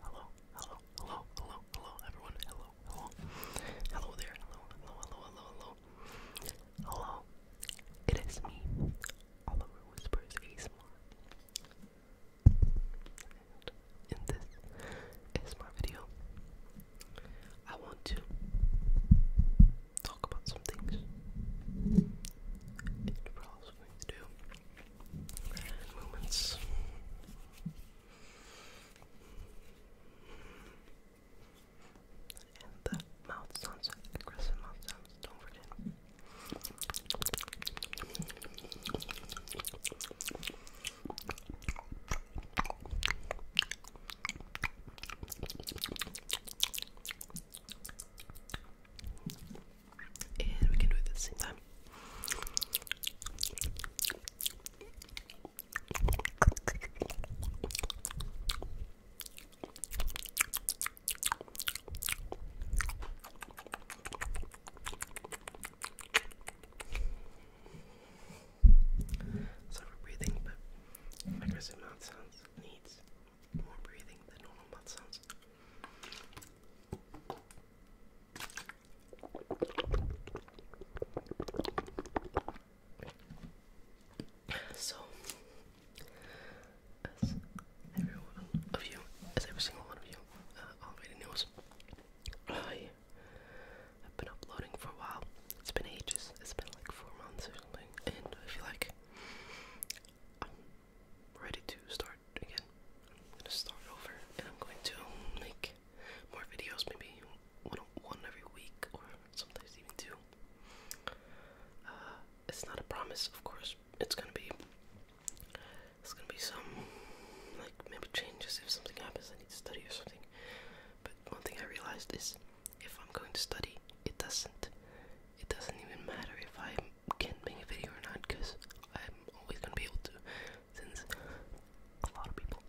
Hello, hello, hello, hello, hello, everyone. Hello, hello, hello there. Hello, hello, hello, hello, hello. Hello, it is me, Oliver Whispers ASMR. And in this ASMR video, I want to talk about some things. And what I was going to do moments. And the mouth sounds, aggressive mouth sounds, don't forget and we can do it at the same time. Sorry for breathing, but aggressive mouth sounds needs more breathing than normal mouth sounds. So, as every one of you, as every single one of you uh, already knows, I have been uploading for a while. It's been ages. It's been like four months or something, and I feel like I'm ready to start again. I'm gonna start over and I'm going to make more videos, maybe one one every week or sometimes even two. Uh, it's not a promise, of course. It's gonna be it's gonna be some like maybe changes if something happens. I need to study or something. But one thing I realized is if I'm going to study, it doesn't it doesn't even matter if I'm can make a video or not because I'm always gonna be able to since a lot of people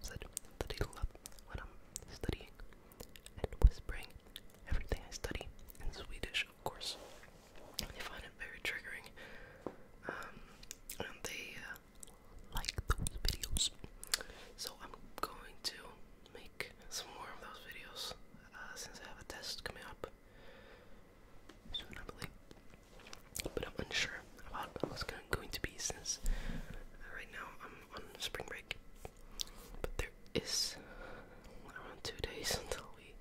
said that they love when I'm studying and whispering everything I study in Swedish of course. They find it very triggering. Um, and they uh, like those videos. So I'm going to make some more of those videos uh, since I have a test coming up I believe. But I'm unsure about what's going to be since uh, right now I'm on spring break. But there is around two days until we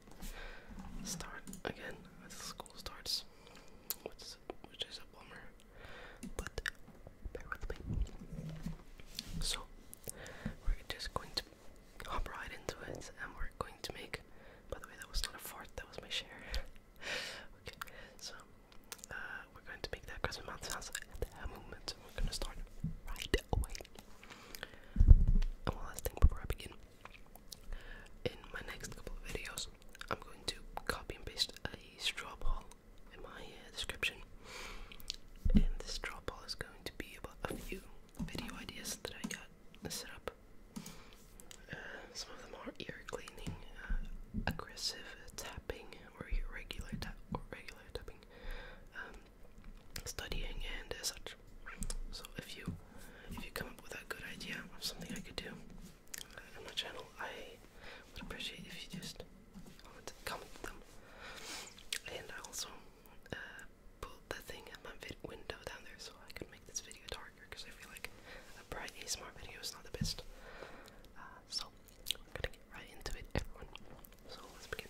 start again as uh, school starts, which is, which is a bummer. But bear with me. So we're just going to hop right into it and we're going to make by the way that was not a fart, that was my share. so uh, we're going to make that crescent mountain house We're gonna start right away. one last thing before I begin. In my next couple of videos, I'm going to copy and paste a straw poll in my uh, description. And this straw poll is going to be about a few video ideas that I got set up up. Uh, some of them are ear cleaning, uh, aggressive tapping, or irregular or regular tapping, um, studying, and uh, such. So if you if you come up with a good idea of something I could do uh, on my channel, I would appreciate if you just comment, comment them. And I also Put the thing at my vid window down there so I can make this video darker because I feel like a bright ASMR video is not the best. Uh, so we're gonna get right into it, everyone. So let's begin.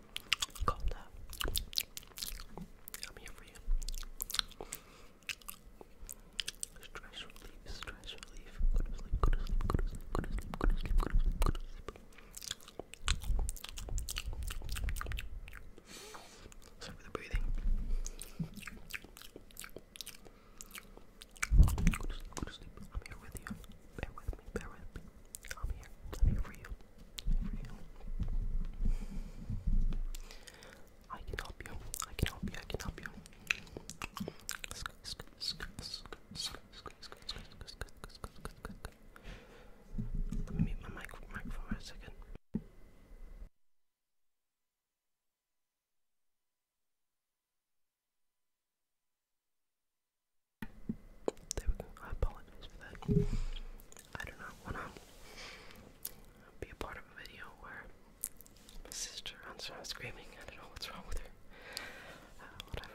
Calm down. I'm here for you. Stress relief, stress relief. Go to sleep, go to sleep, go to sleep, go to sleep, go to sleep, go to sleep, go to sleep. Sorry for the breathing. Go to sleep, go to sleep. I'm here with you. Bear with me, bear with me, I'm here. I'm here for you. i can help you. I can help you. I can help you. Let me mute my mic for a second. There we go. I apologize for that. I do not want to be a part of a video where my sister runs around screaming. I don't know what's wrong with her. Uh, whatever.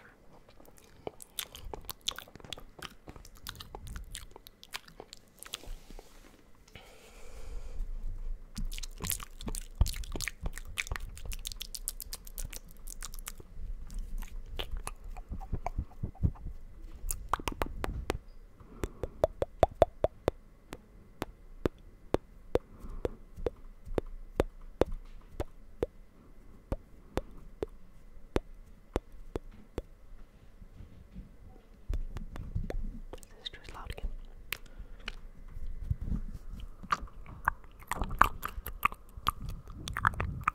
This is loud again.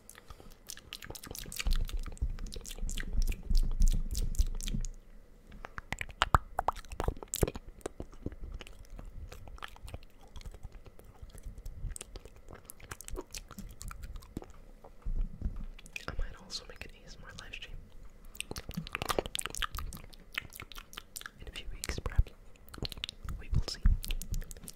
I might also make an ASMR live in a few weeks, perhaps. We will see.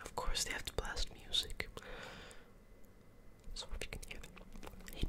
Of course, they have to blast music. So if you can hear them, hate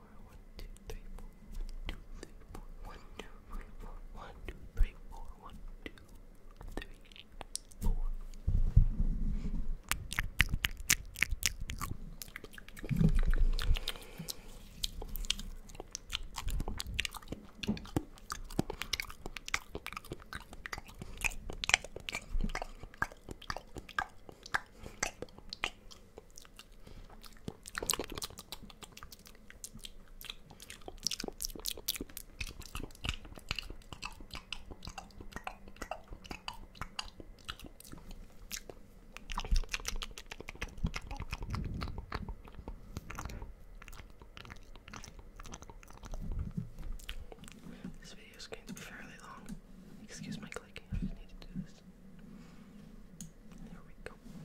one, two, three, four, one, two, three, four, one, two, three, four, one, two, three, four, one, two, three, four. This video is going to be fairly long. Excuse my clicking, I just need to do this. There we go.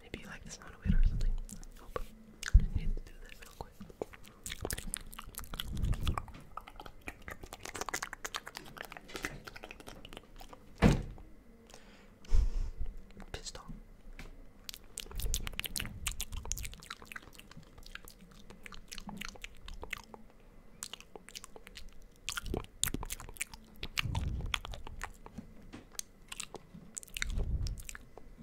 Maybe you like the sound of it or something. I need to do that real quick. Pissed off.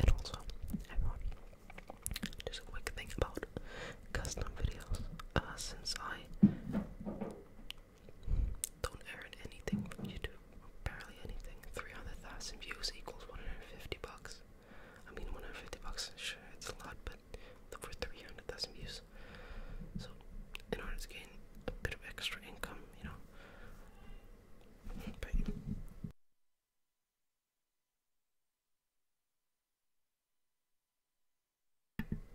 And also, everyone, just a quick thing about custom videos. Uh, since I don't earn anything from YouTube, barely anything, 300,000 views equals 150 bucks. I mean, 150 bucks, sure, it's a lot, but for 300,000 views. So, in order to gain a bit of extra income, you know,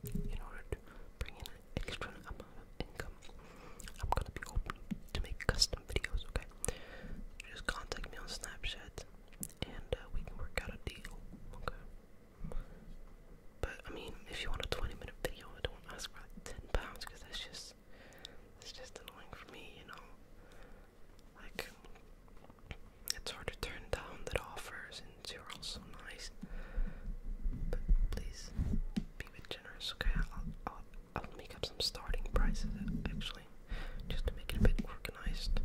in order to bring in extra income, I'm gonna be open to make custom videos, okay? Just contact me on Snapchat and uh, we can work out a deal, okay? But I mean, if you want a 20 minute video, don't ask for like 10 pounds because that's just it's just annoying for me, you know. Like it's hard to turn down that offers and you're also nice. But please be a bit generous, okay? I'll, I'll, I'll make up some starting prices actually, just to make it a bit organized.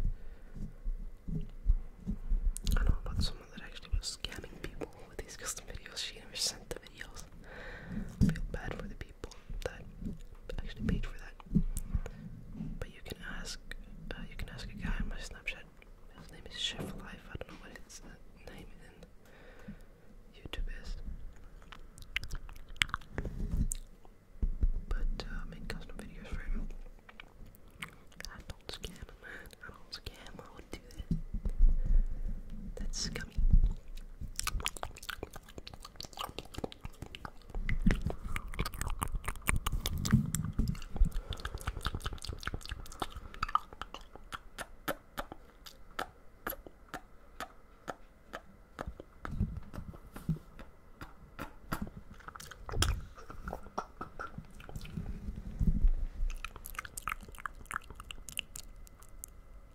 I know about someone that actually was scamming people with these custom videos. She never sent them videos. feel bad for the people that actually paid for that. But you can ask, uh, you can ask a guy my Snapchat. His name is Chef Life. I don't know what his uh, name in YouTube is. But uh, make custom videos for him. I don't scam, man. I don't scam. That's scummy.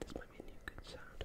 This might be a new good sound.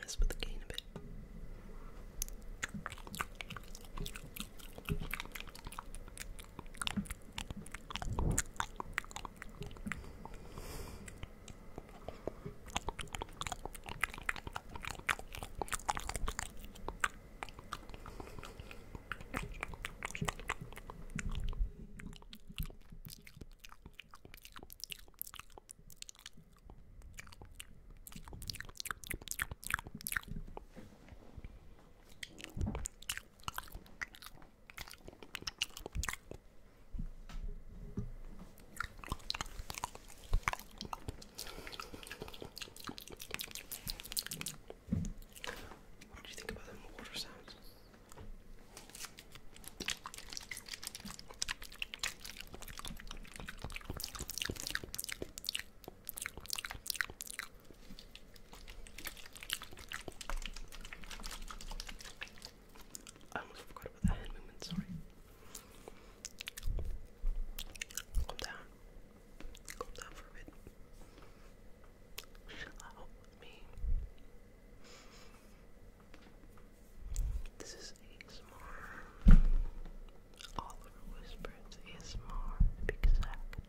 mess with the gain a bit. What do you think about them water sounds? I almost forgot about that hand movement, sorry. Calm down. Calm down for a bit. Chill out me. This is ASMR. Oliver Whispers ASMR, exact.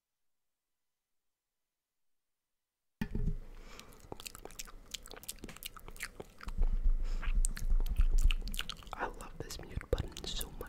I love this mute button so much.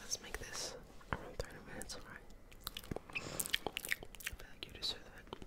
Let's make this around 30 minutes, alright? I feel like you deserve it.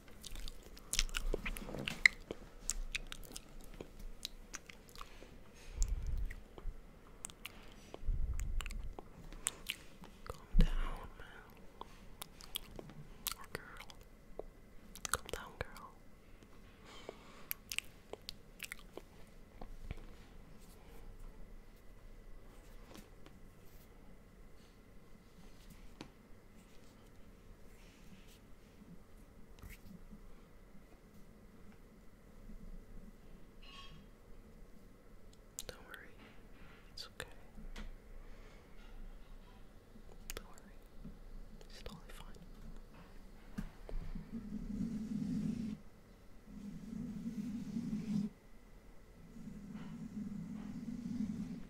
Calm down, man. Or girl. Calm down, girl. Don't worry, it's okay. Don't worry, it's totally fine.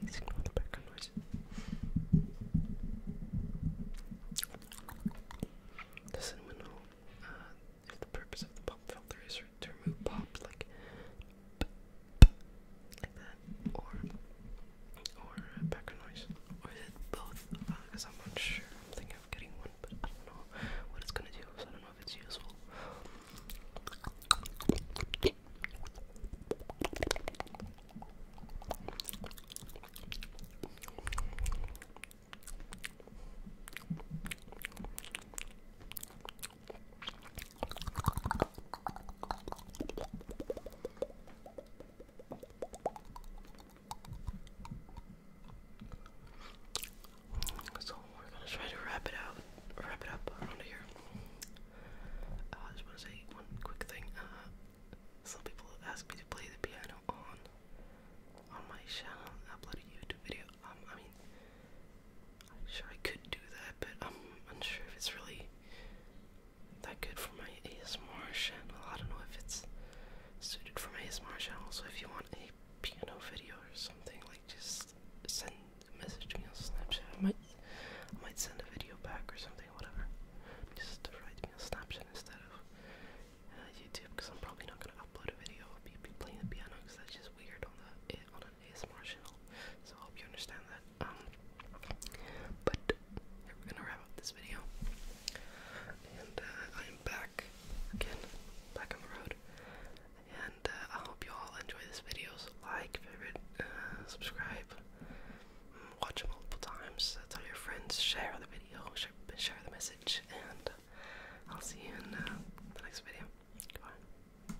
Please ignore the background noise. Does anyone uh, the purpose of the pop filter is to remove pop like like that, or or background noise, or is it both? Because uh, I'm not sure. I'm thinking of getting one, but I don't know what it's gonna do, so I don't know if it's useful. So we're gonna try to wrap it out, wrap it up around here. Uh, I just want to say one quick thing. Uh, some people ask me to play the piano on on my channel, upload a YouTube video. Um, I mean, I'm sure I could do that, but I'm unsure if it's really that good for my ASMR channel. I don't know if it's suited for my ASMR channel, so if you want a piano video or something, like just send a message to me on Snapchat. I might I might send a video back or something, whatever. Just write me on Snapchat instead of uh, YouTube, because I'm probably not gonna upload a video of me playing the piano, because that's just weird on the eh, not an so I hope you understand that. Um, but we're gonna wrap up this video, and uh, I am back again, back on the road, and uh, I hope you all enjoy this video. So like, favorite, uh, subscribe, mm, watch multiple times. Tell your friends, share the video, share, the message, and I'll see you in the next video. Goodbye.